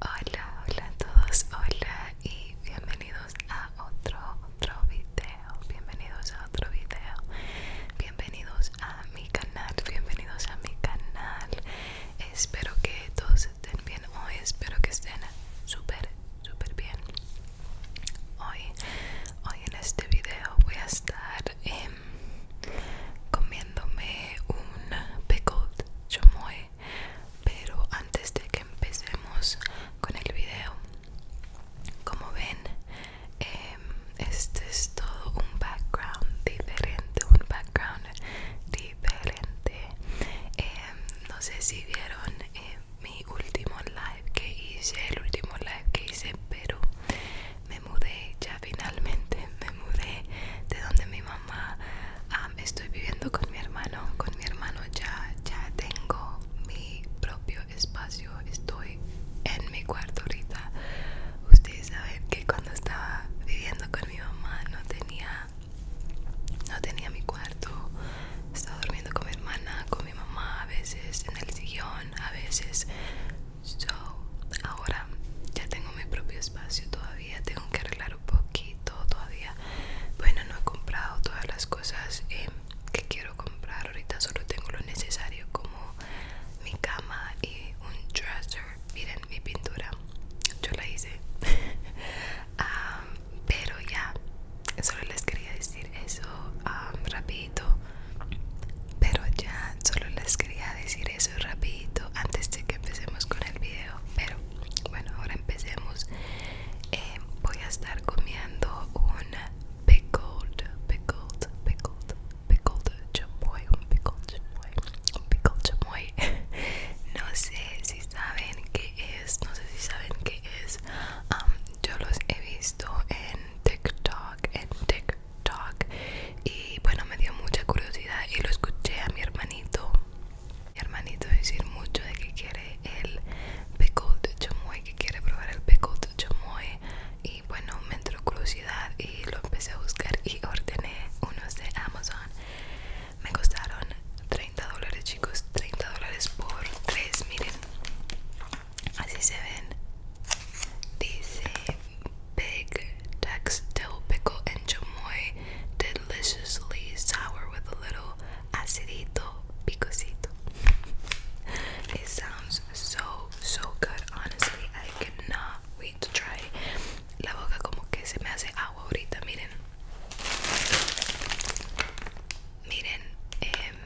Hola, hola a todos, hola y bienvenidos a otro, otro video, bienvenidos a otro video, bienvenidos a mi canal, bienvenidos a mi canal, espero que todos estén bien hoy, espero que estén súper, súper bien. Hoy, hoy en este video voy a estar em, comiéndome un pickled chamoy pero antes de que empecemos con el video como ven em, este es todo un background diferente un background diferente em, no sé si vieron eh, mi último live que hice el último live que hice pero me mudé ya finalmente me mudé de donde mi mamá. Ah, estoy viviendo con mi hermano. Con mi hermano ya, ya tengo mi propio espacio. Estoy en mi cuarto ahorita. Ustedes saben que cuando estaba viviendo con mi mamá no tenía, no tenía mi cuarto. Estaba durmiendo con mi hermana, con mi mamá, a veces en el sillón, a veces ahora ya tengo mi propio espacio todavía tengo que arreglar un poquito todavía bueno no he comprado todas las cosas eh, que quiero comprar ahorita solo tengo lo necesario como mi cama y un dresser miren mi pintura yo la hice ah, pero ya solo les quería decir eso ah, rapidito pero ya solo les quería decir eso rapidito antes de que empecemos con el video pero bueno ahora empecemos eh, voy a estar comiendo un pickled pickled pickled pickled chamoy un pickled chamoy un pickled chamoy no sé si saben qué es no sé si saben qué es um, yo los he visto en TikTok en TikTok y bueno me dio mucha curiosidad y lo escuché a mi hermanito mi hermanito decir mucho de que quiere el de chamoy que quiere probar el de chamoy y bueno me entró curiosidad y lo empecé a buscar y ordené unos de Amazon me costaron 30 dólares chicos 30 dólares por 3 miren así se ven Dice big textil, pico pickle and chamoy, deliciously sour with a little acidito picosito. It sounds so so good. Honestly, I cannot wait to try. La boca como que se me hace agua ahorita. Miren, miren, em,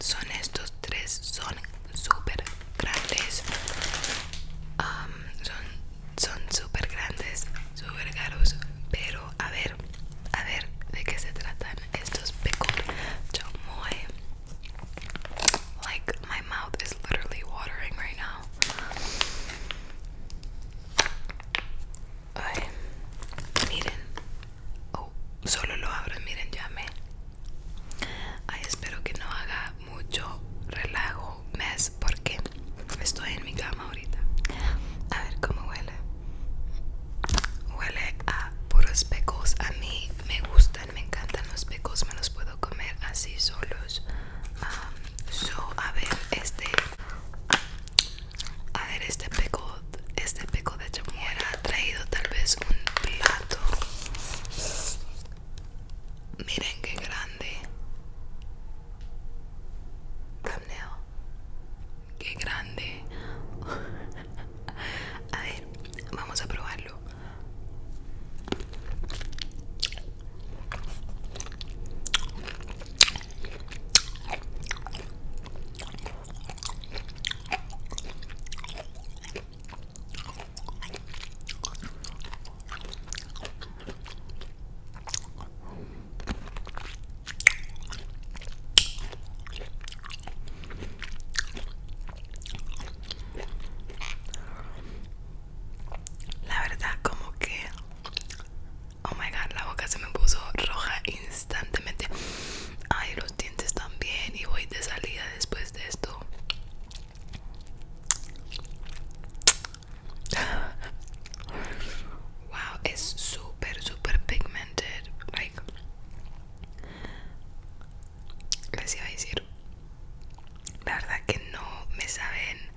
son estos tres son súper grandes son super grandes super caros pero a ver a ver de qué se tratan estos pickled chamoy like my mouth is literally watering right now miren oh, solo lo abro miren ya me Ay, espero que no haga mucho relajo mes porque estoy en mi cama ahorita. A ver cómo huele. Huele a puros pecos. A mí me gustan, me encantan los pecos. Me los puedo comer así solos. so, a ver este. A ver este peco. Este peco de chamuera traído tal vez un plato miren qué grande qué grande a ver vamos a probarlo la verdad como que Oh my god, la boca se me puso roja instantáneamente. Ay, los dientes también y voy de salida después de esto wow es super super pigmented like les iba a decir la verdad que no me saben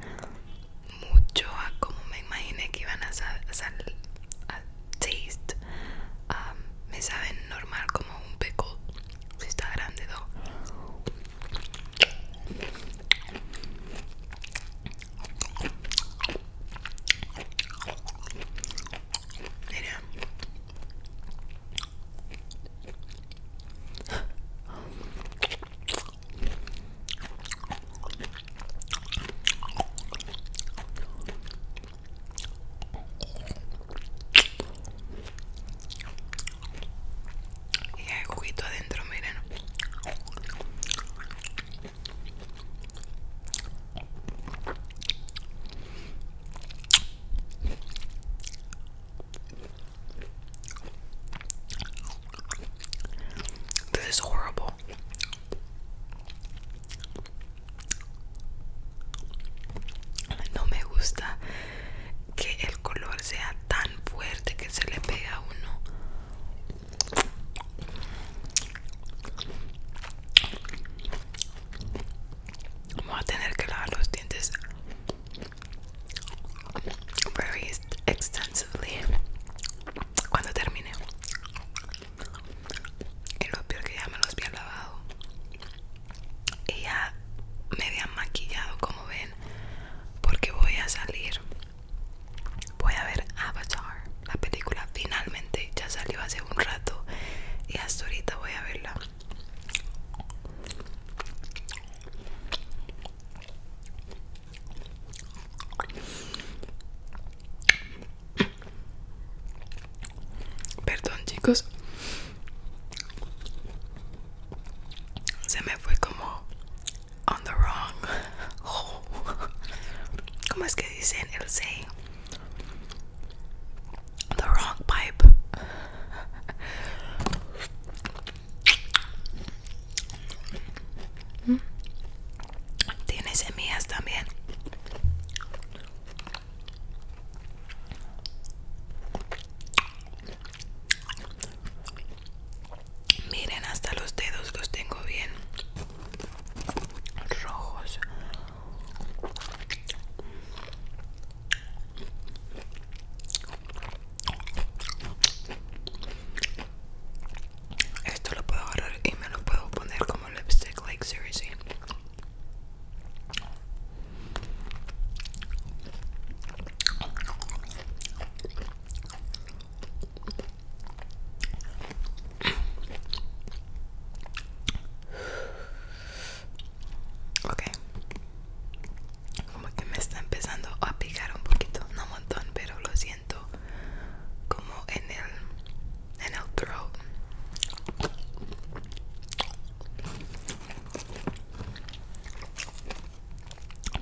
mucho a como me imaginé que iban a, salir taste um, me saben normal como un peco, si está grande y hay juguito adentro, miren. This is horrible no me gusta que el color sea tan fuerte que se le pega a uno Voy a tener que lavar los dientes very extensively cuando termine y lo peor que ya me los había lavado y ya me había maquillado como ven porque voy a salir voy a ver Avatar la película finalmente ya salió hace un rato y hasta ahorita voy a verla Perdón chicos. Se me fue como on the wrong. ¿Cómo es que dicen el say? The wrong pipe tiene semillas también miren hasta los dedos los tengo bien rojos esto lo puedo agarrar y me lo puedo poner como lipstick, like seriously. Ok, como que me está empezando a picar un poquito, no un montón, pero lo siento como en el en el throat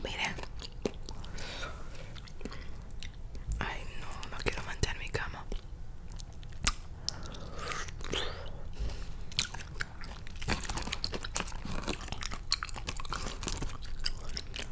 miren ay no no quiero mantener mi cama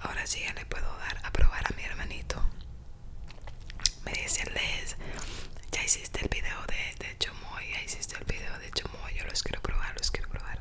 Ahora sí ya le puedo dar a probar a mi hermanito. Me dice Les, ya hiciste el video de, de Chomoy, ya hiciste el video de Chomoy, yo los quiero probar, los quiero probar.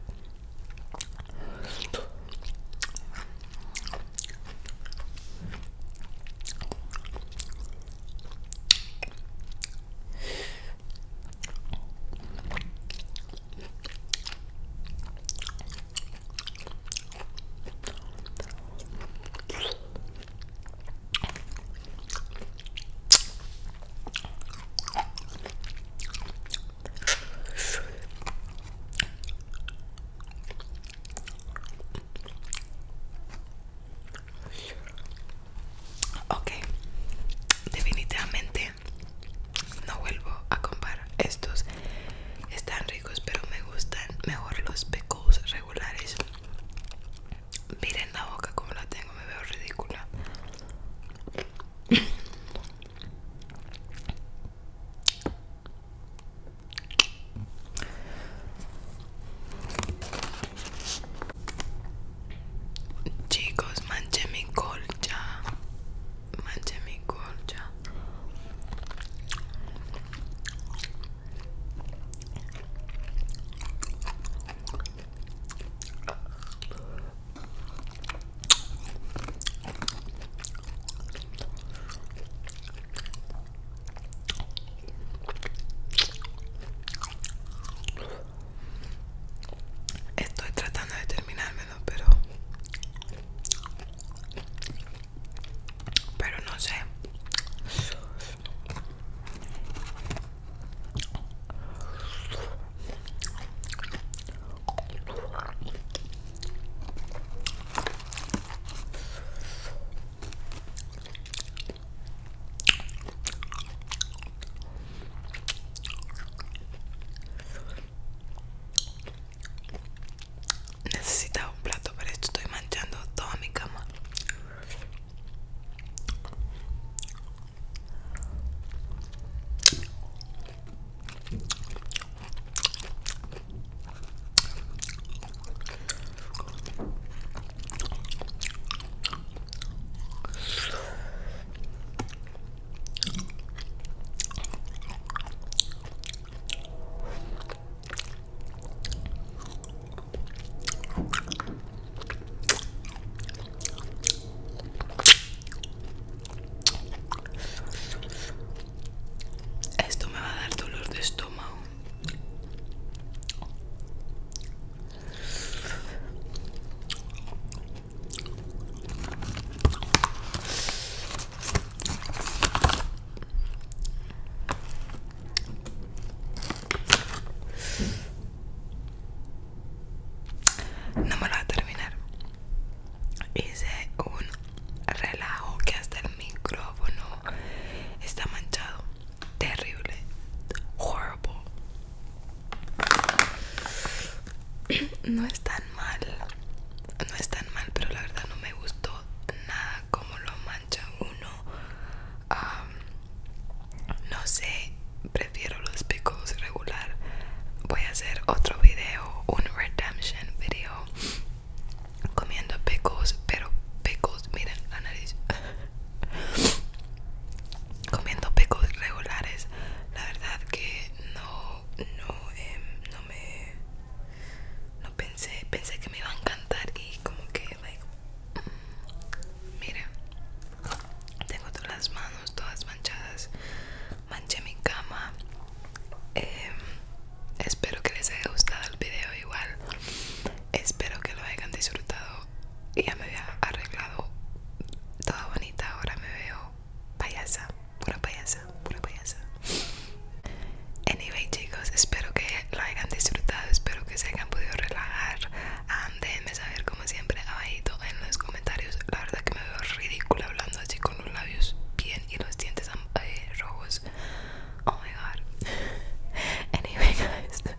Okay, definitivamente no vuelvo a comprar estos están ricos pero me gustan mejor los pecos regulares miren la boca como la tengo me veo ridícula Chicos, manche mi colcha. manche mi colcha. Estoy tratando de terminarlo pero. Pero no sé. Necesitaba un plato, para esto estoy manchando toda mi cama. Esto me va a dar dolor de estómago. No me lo voy a terminar. Hice un relajo que hasta el micrófono está manchado. Terrible. Horrible. No es tan mal, no es tan mal, pero la verdad no me gustó nada como lo mancha uno. no sé, prefiero los picos regular. Voy a hacer otro video, un redemption video, comiendo picos, pero picos, miren la nariz. comiendo pecos regulares la verdad que no no em, no me no pensé pensé que me iba a encantar y como que like, mm, mira tengo todas las manos todas manchadas manché mi cama em, espero que les haya gustado el video igual Espero que lo hayan disfrutado. Ya me había arreglado toda bonita. Ahora me veo payasa, pura payasa, pura payasa. Anyway, chicos, espero que lo hayan disfrutado. Espero que se hayan podido relajar. déjenme saber, como siempre, abajito en los comentarios. La verdad que me veo ridícula hablando así con los labios bien y los dientes eh, rojos. Oh my god. anyway, guys.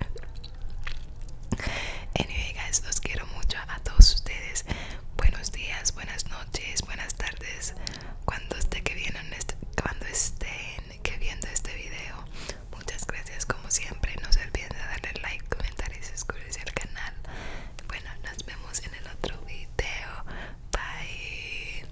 Anyway, guys, los quiero mucho a todos ustedes. Buenos días, buenas noches, buenas tardes. Cuando esté que vienen este, cuando estén que viendo este video. Muchas gracias como siempre. No se olviden de darle like, comentar y suscribirse al canal. Bueno, nos vemos en el otro video. Bye.